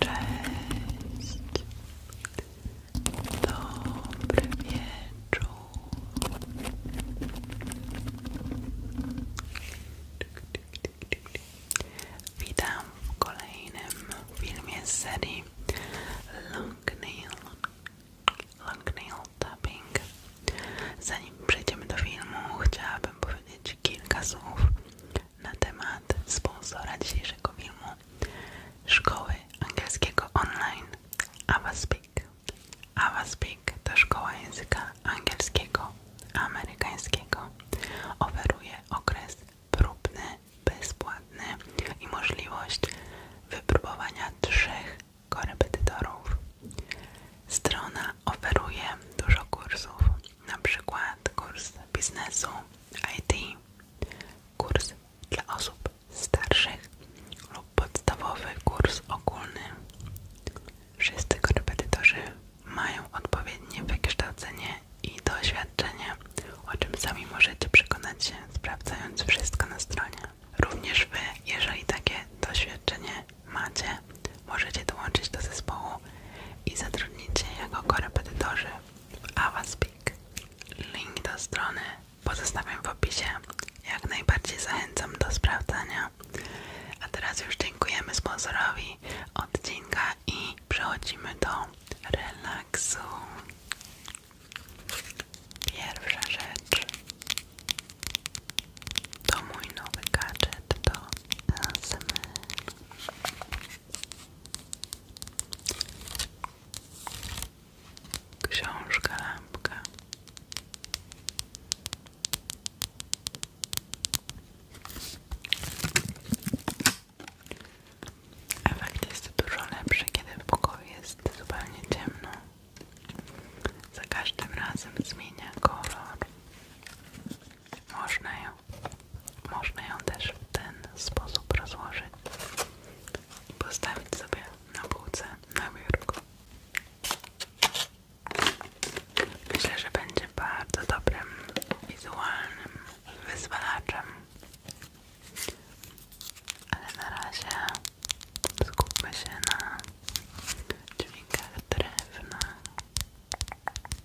Cześć, dobry wieczór. Witam w kolejnym filmie serii Long Nail, Long Nail Tapping. Zanim przejdziemy do filmu, chciałabym powiedzieć kilka słów na temat sponsora dzisiejszego filmu Szkoły Angielskiego Online Avaspeak. Avaspeak to szkoła języka angielskiego amerykańskiego. Oferuje okres próbny, bezpłatny i możliwość wypróbowania trzech korepetytorów. Strona oferuje dużo kursów na przykład kurs biznesu, IT, kurs dla osób starszych lub podstawowy kurs ogólny. Wszyscy korepetytorzy mają odpowiednie wykształcenie i doświadczenie, o czym sami możecie przekonać się, sprawdzając wszystko na stronie. Również Wy, jeżeli takie doświadczenie macie, możecie dołączyć do zespołu i zatrudnić się jako korepetytorzy. Awaspeak. Link do strony pozostawiam w opisie. Jak najbardziej zachęcam do sprawdzania. A teraz już dziękujemy sponsorowi odcinka i przechodzimy do relaksu. Pierwsza rzecz to mój nowy gadżet do ASMR. Książka, lampka. Efekt jest dużo lepszy, kiedy w pokoju jest zupełnie ciemno. Za każdym razem zmienia kolor. Można ją można ją też w ten sposób rozłożyć i postawić sobie na półce na biurku. Myślę, że będzie bardzo dobrym wizualnym wyzwalaczem. Ale na razie skupmy się na dźwiękach drewna.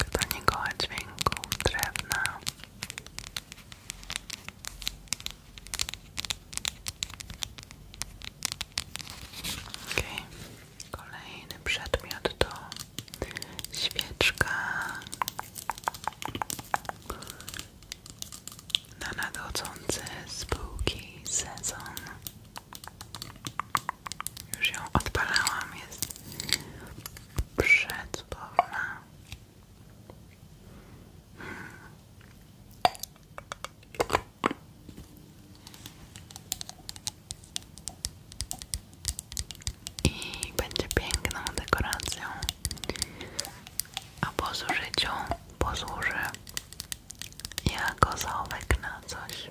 Do nie dźwięków drewna. Okay. Kolejny przedmiot to świeczka na nadchodzący spółki sezon. Już ją odpalałam, jest przedpowna i będzie piękną dekoracją. A po zużyciu posłuży jako załówek na coś.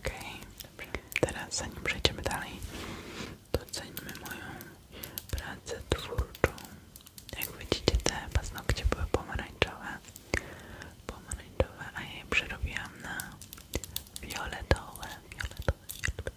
OK. okay. teraz zanim przejdziemy dalej, doceńmy moją pracę twórczą. Jak widzicie, te paznokcie były pomarańczowe, pomarańczowe, a ja je przerobiłam na fioletowe, fioletowe, fioletowe.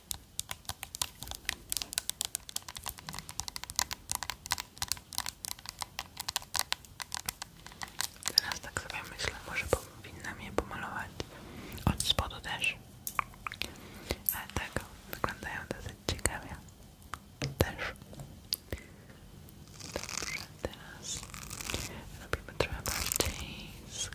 Teraz tak sobie myślę, może powinnam je pomalować od spodu też. Ale tak, wyglądają dosyć ciekawie. Też. Dobrze, teraz robimy trochę bardziej z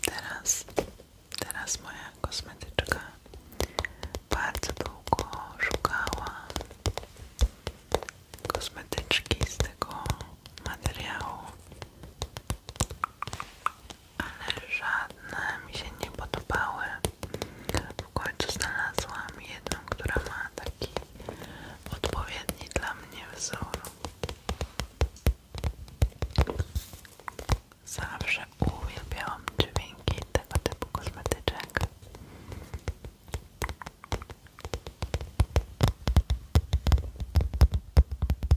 Teraz, teraz moja kosmetyczka bardzo długo szukała kosmetyczki z tego materiału, ale żadne mi się nie podobały. W końcu znalazłam jedną, która ma taki odpowiedni dla mnie wzór. Zawsze uwielbiałam dźwięki tego typu kosmetyczek.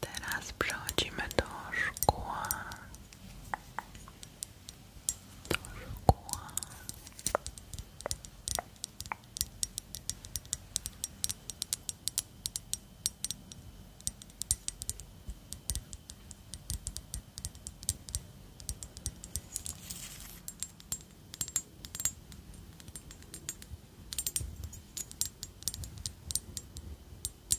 Teraz przechodzimy do szkła. Do szkła.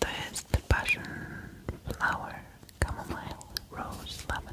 Twist, passion, flower, chamomile, rose, lavender.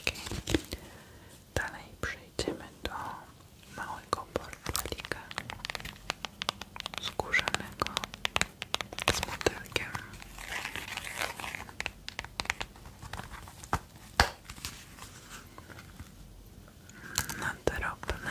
Okay. Dalej przejdziemy do małego portfelika skórzanego z modelkiem. Na drobne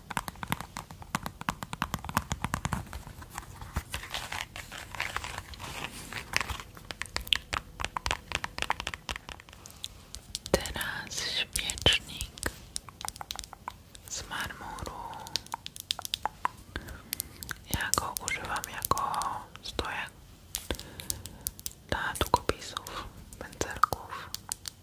Teraz świecznik z marmuru. Ja go używam jako stojak dla długopisów, pędzelków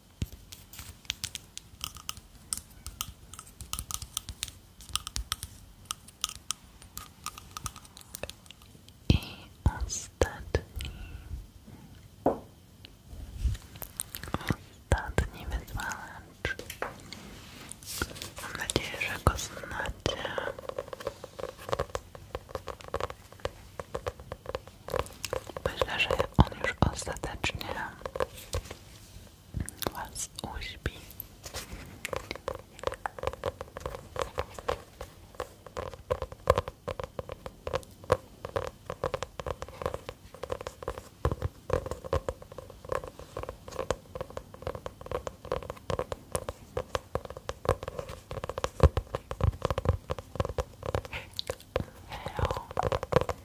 I ostatni, ostatni wyzwalacz. Mam nadzieję, że go znacie. Myślę, że on już ostatecznie was uśpi.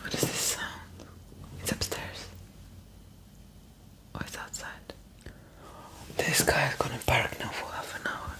What is this sound? It's upstairs. Or oh, it's outside. This guy is gonna park now for half an hour.